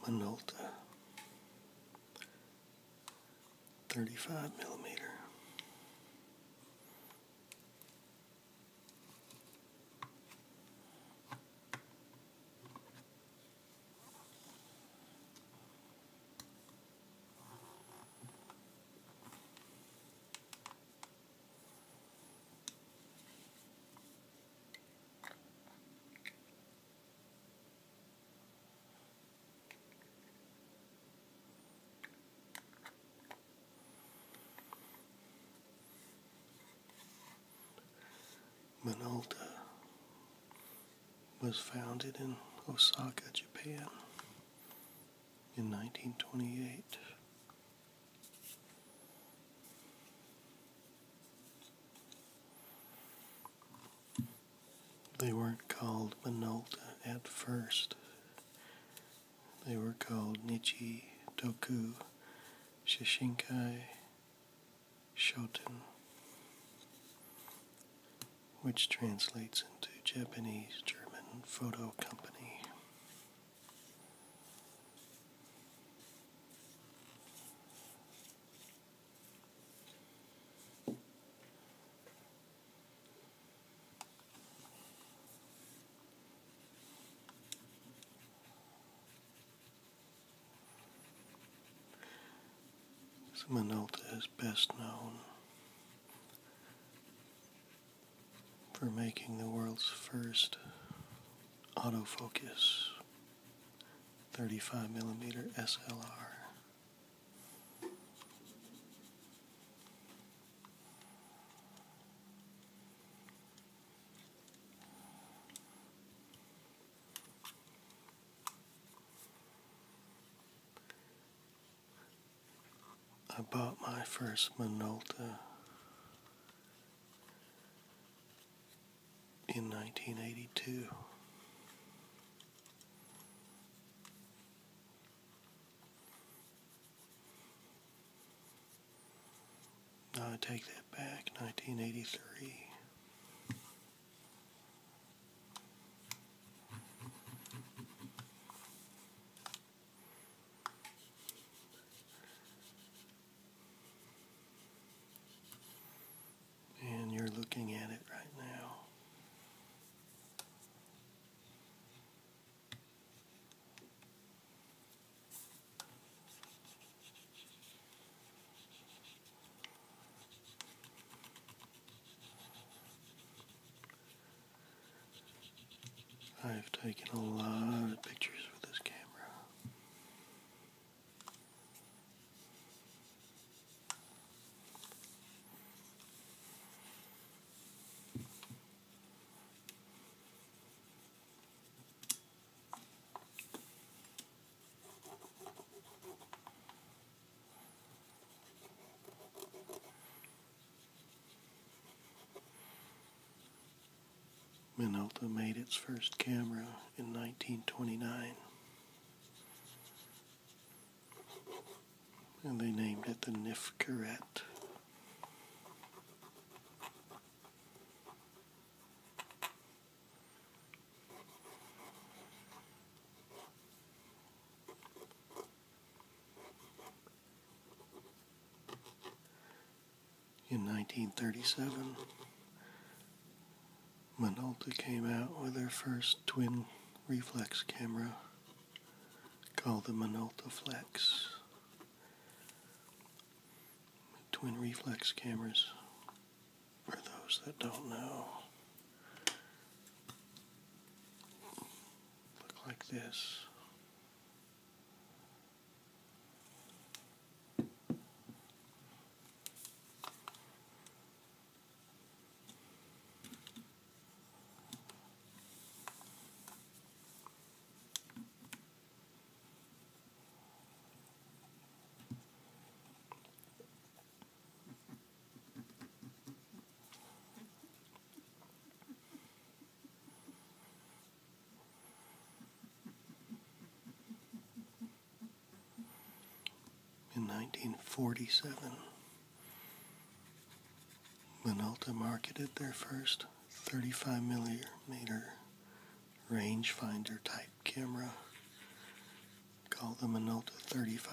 Minolta 35 millimeter. Minolta was founded in Osaka, Japan in 1928. They weren't called Minolta at first. They were called Nichi Doku Shishinkai Shoten, which translates into Japanese German Photo Company. Simonalta is best known for making the world's first autofocus 35mm SLR. I bought my first Minolta in 1982. Now I take that back, 1983. And you're looking at it right now. I've taken a lot of pictures with this camera. Minolta made its first camera in 1929. And they named it the Nifcarette. In 1937, Minolta came out with her first twin reflex camera called the Minolta Flex. Twin reflex cameras, for those that don't know, look like this. In 1947, Minolta marketed their first 35 millimeter rangefinder type camera called the Minolta 35.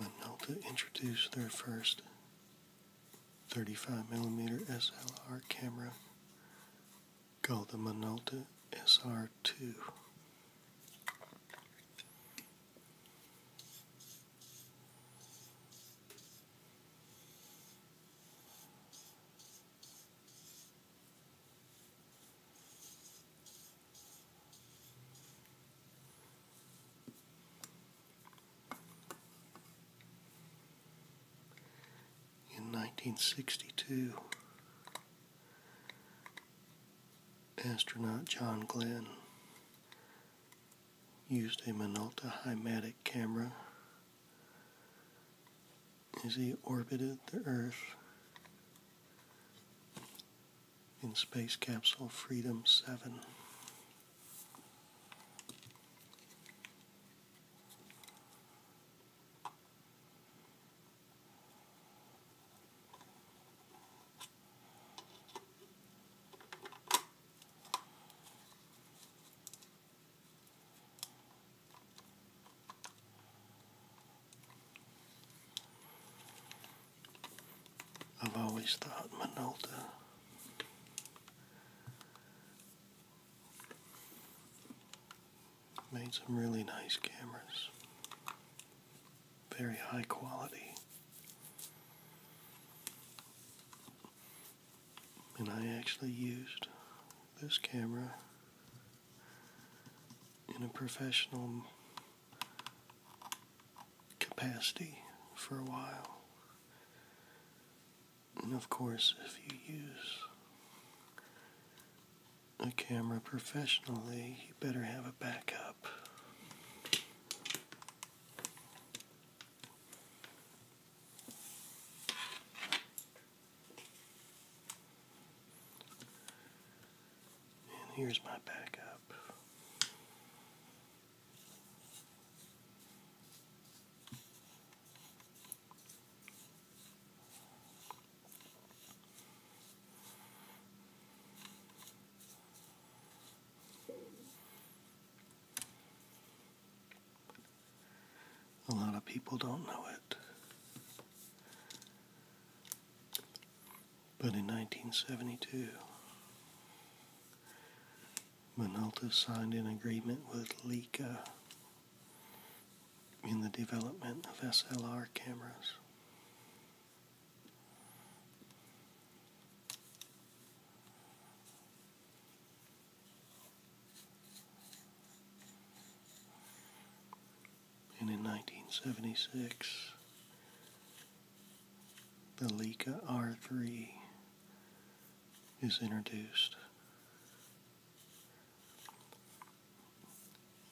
Minolta introduced their first 35mm SLR camera called the Minolta senior 2 in 1962, astronaut John Glenn used a Minolta Hymatic camera as he orbited the Earth in Space Capsule Freedom 7. I've always thought Minolta made some really nice cameras, very high quality. And I actually used this camera in a professional capacity for a while. And of course, if you use a camera professionally, you better have a backup. And here's my backup. A lot of people don't know it. But in 1972, Minolta signed an agreement with Leica in the development of SLR cameras. And in 1976, the Leica R3 is introduced.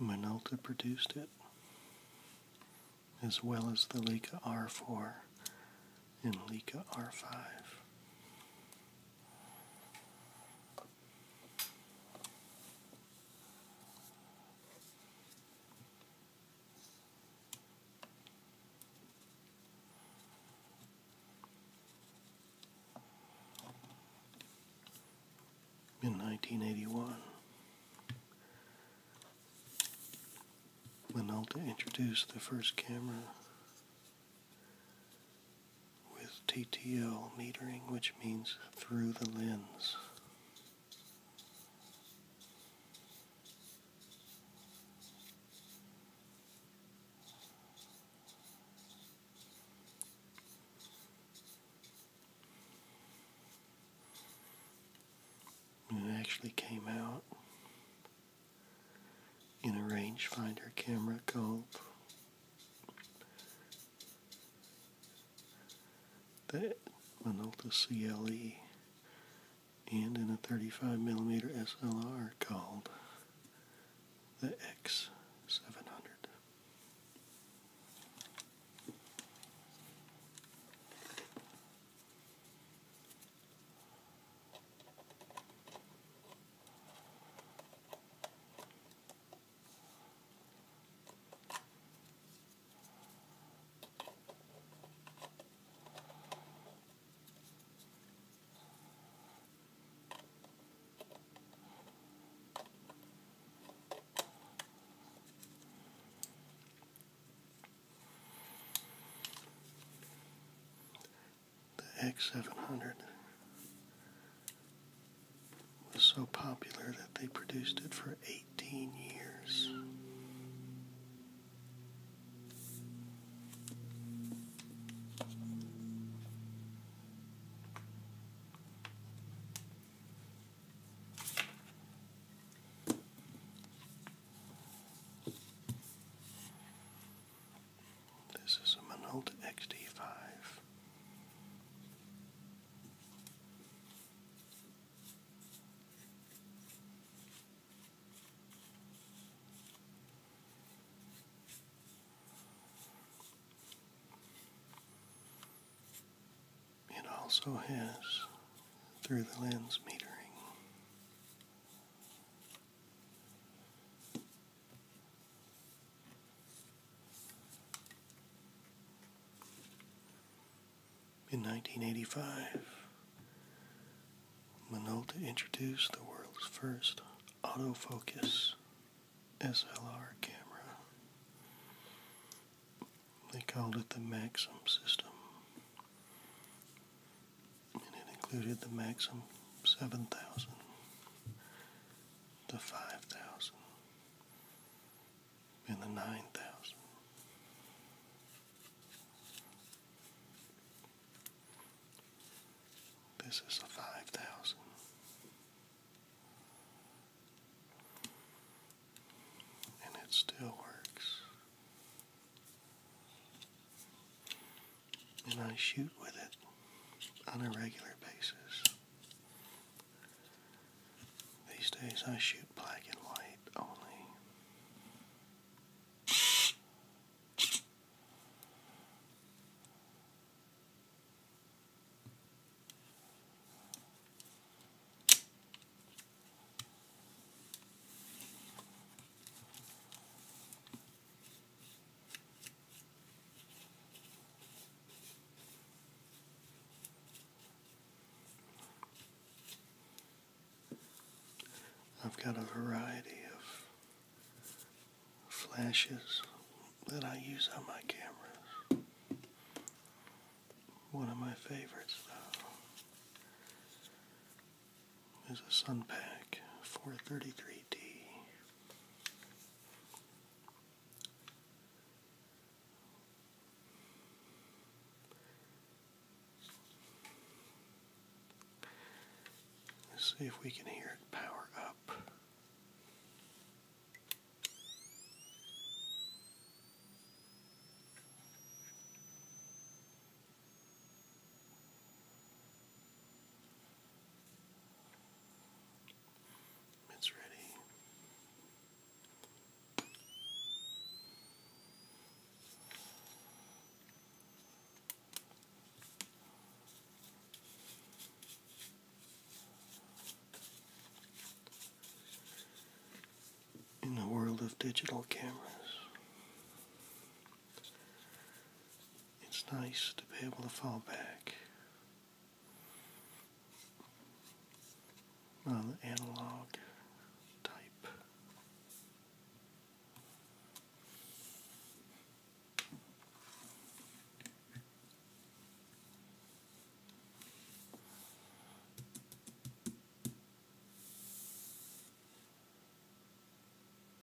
Minolta produced it, as well as the Leica R4 and Leica R5. In 1981, Minolta introduced the first camera with TTL metering, which means through the lens. And it actually came out in a rangefinder camera called that Minolta CLE and in a 35 millimeter SLR called the X700. The X700 was so popular that they produced it for 18 years. This is a Minolta XD5. It also has through the lens metering. In 1985, Minolta introduced the world's first autofocus SLR camera. They called it the Maxim system, and it included the Maxim 7000 the 5,000 and the 9,000. This is a 5,000. And it still works and I shoot with it on a regular basis. These days I shoot black and white only. I've got a variety of flashes that I use on my cameras. One of my favorites, though, is a Sunpak 433D. Let's see if we can hear it power up. It's ready. In the world of digital cameras, it's nice to be able to fall back on the analog type.